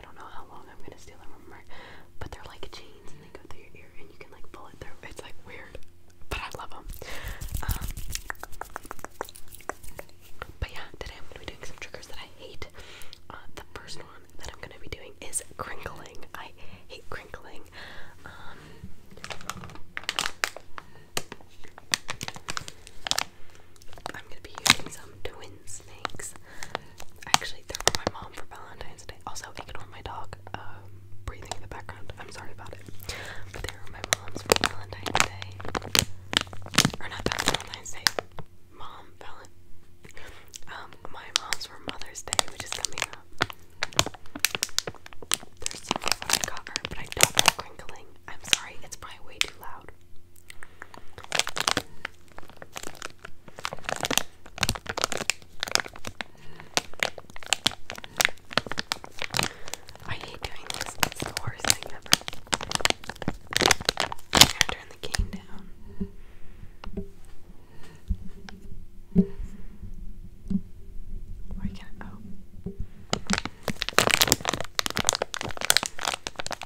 I don't know how long I'm gonna steal them from her, but they're like chains and they go through your ear and you can like pull it through. It's like weird, but I love them. Um, but yeah, today I'm gonna be doing some triggers that I hate. Uh, the first one that I'm gonna be doing is crinkling. I hate crinkling. Um, I'm gonna be using some twin snakes. Actually, they're for my mom for Valentine's Day. Also, ignore my dog um, breathing in the background. I'm sorry about it. But they were my mom's for Valentine's Day. Or not Valentine's Day. Mom, Valentine. Um, my mom's for Mother's Day, which is coming up. There's I got her, but I don't like crinkling. I'm sorry, it's probably way too loud. I hate doing this. It's the worst thing ever. turn the cane down. Why can't? Oh.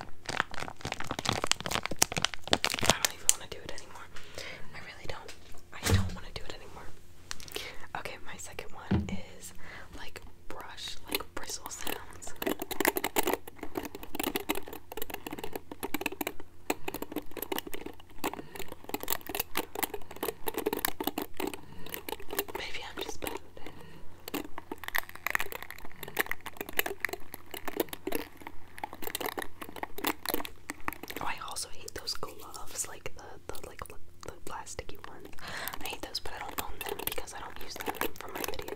I don't even want to do it anymore. I really don't. I don't want to do it anymore. Okay, my second one is like brush, like bristle sounds. Maybe I'm just bad at it. Oh, I also hate those gloves, like the the like the plasticky ones. I hate those, but I don't own them because I don't use them for my videos.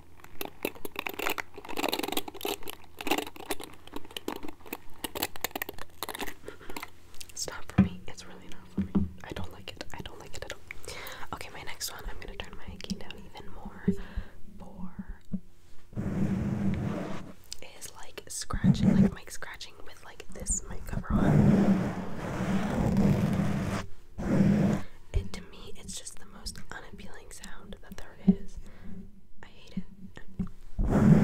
It's for me. It's really not for me. I don't like it. I don't like it at all. Okay, my next one, I'm gonna turn my key down even more for is like scratching, like mic scratching with like this mic cover on. And to me, it's just the most unappealing sound that there is. I hate it.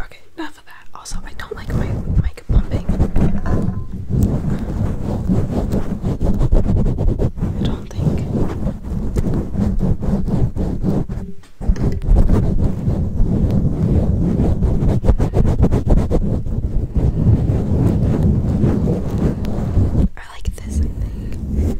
Okay, enough of that. Also, I don't like my mic pumping. I don't think. I like this, I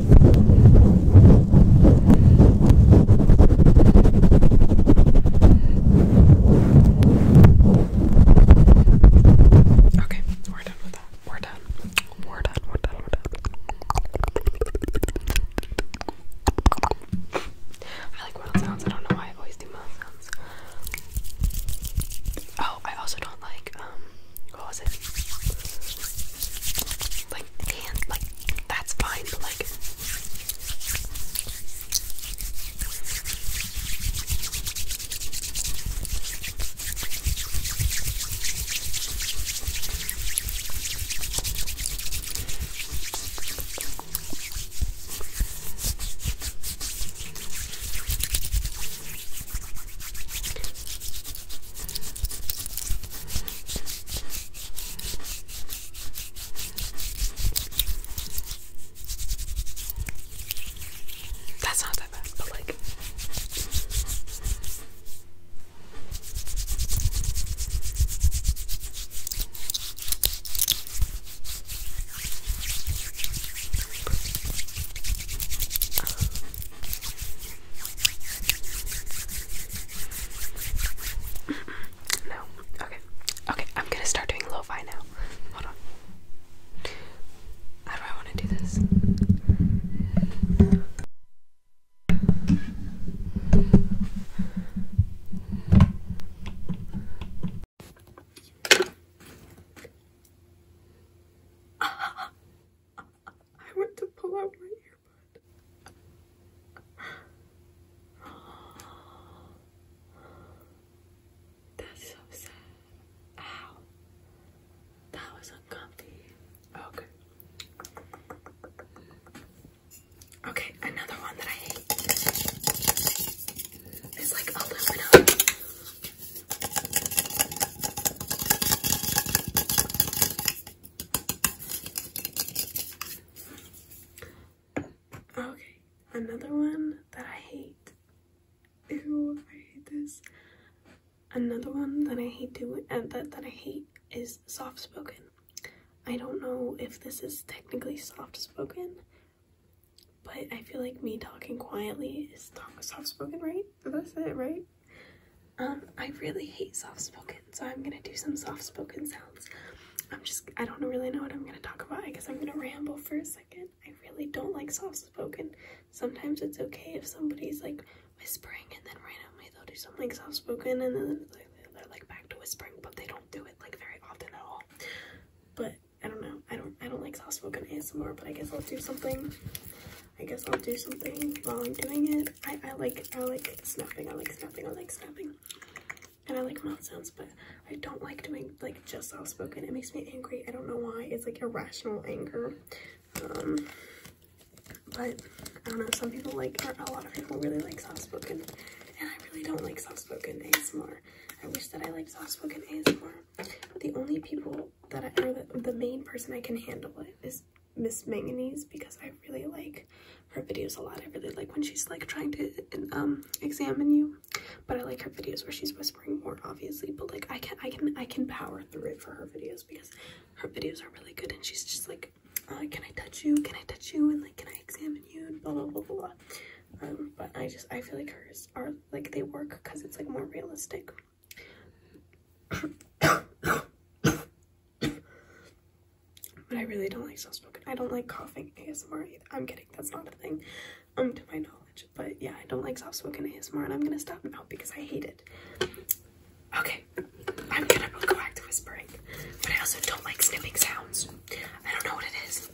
Okay, we're done with that. We're done. We're done. We're done. We're done. I like mouth sounds. I don't know why I always do mouth sounds. Oh, I also don't like um what was it? like hand, like that's fine, but like that's not that bad, but like. No. Okay. Okay, I'm gonna start doing lofi now. Hold on. How do I want to do this? I went to pull out my ear. That's so sad. Ow. That was uncomfy. Okay. Okay, another one that I hate is like aluminum. Okay, another one that I hate. Ew, I hate this. Another one that I hate doing and uh, that, that I hate is soft spoken. I don't know if this is technically soft spoken, but I feel like me talking quietly is soft spoken, right? that's it, right? Um, I really hate soft spoken, so I'm gonna do some soft spoken sounds. I'm just, I don't really know what I'm gonna talk about. I guess I'm gonna ramble for a second. I really don't like soft spoken. Sometimes it's okay if somebody's like whispering and then randomly they'll do something like soft spoken and then they're like back to whispering, but they don't do it like very often at all. But I don't know. I don't, I don't like soft spoken ASMR, but I guess I'll do something. I guess I'll do something while I'm doing it. I, I like, I like snapping, I like snapping, I like snapping. And I like mouth sounds, but I don't like doing like just soft spoken. It makes me angry. I don't know why. It's like irrational anger. Um, but I don't know. Some people like, a lot of people really like soft spoken. And I really don't like soft spoken ASMR. I wish that I liked soft spoken ASMR. The only people that I, or the, the main person I can handle it is Miss Manganese because I really like her videos a lot. I really like when she's like trying to um examine you, but I like her videos where she's whispering more, obviously. But like I can I can I can power through it for her videos because her videos are really good and she's just like, oh, can I touch you? Can I touch you? And like, can I examine you? And blah blah blah blah. blah. Um, but I just I feel like hers are like they work because it's like more realistic but I really don't like soft spoken. I don't like coughing ASMR I'm kidding, that's not a thing, um, to my knowledge. But yeah, I don't like soft spoken ASMR, and I'm gonna stop now because I hate it. Okay, I'm gonna go back to whispering, but I also don't like snipping sounds. I don't know what it is.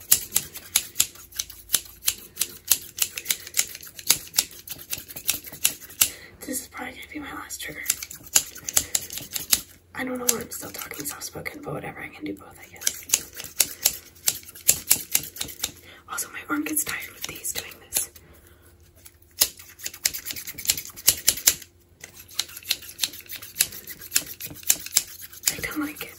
This is probably gonna be my last trigger. I don't know why I'm still talking soft spoken, but whatever, I can do both, I guess. Also, my arm gets tired with these doing this. I don't like it.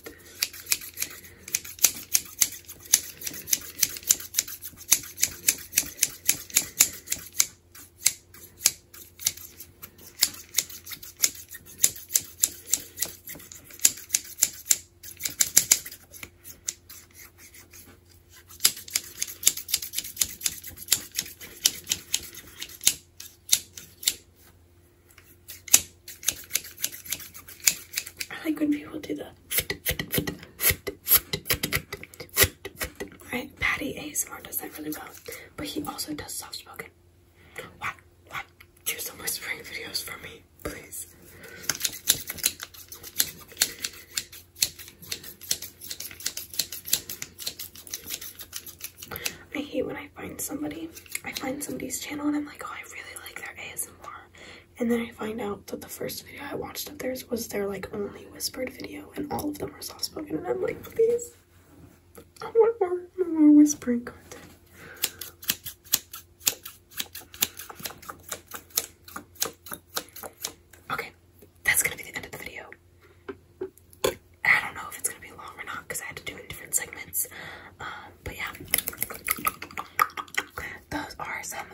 I like when people do that. Right? Patty ASMR does that really well. But he also does soft spoken. Why? Why? Do some whispering videos for me, please. I hate when I find somebody, I find somebody's channel and I'm like, oh, I really like their ASMR. And then I find out that the first first video I watched of theirs was their like only whispered video, and all of them were soft spoken, and I'm like, please, I want more, more whispering content. Okay, that's gonna be the end of the video. I don't know if it's gonna be long or not because I had to do in different segments. Um, but yeah, those are some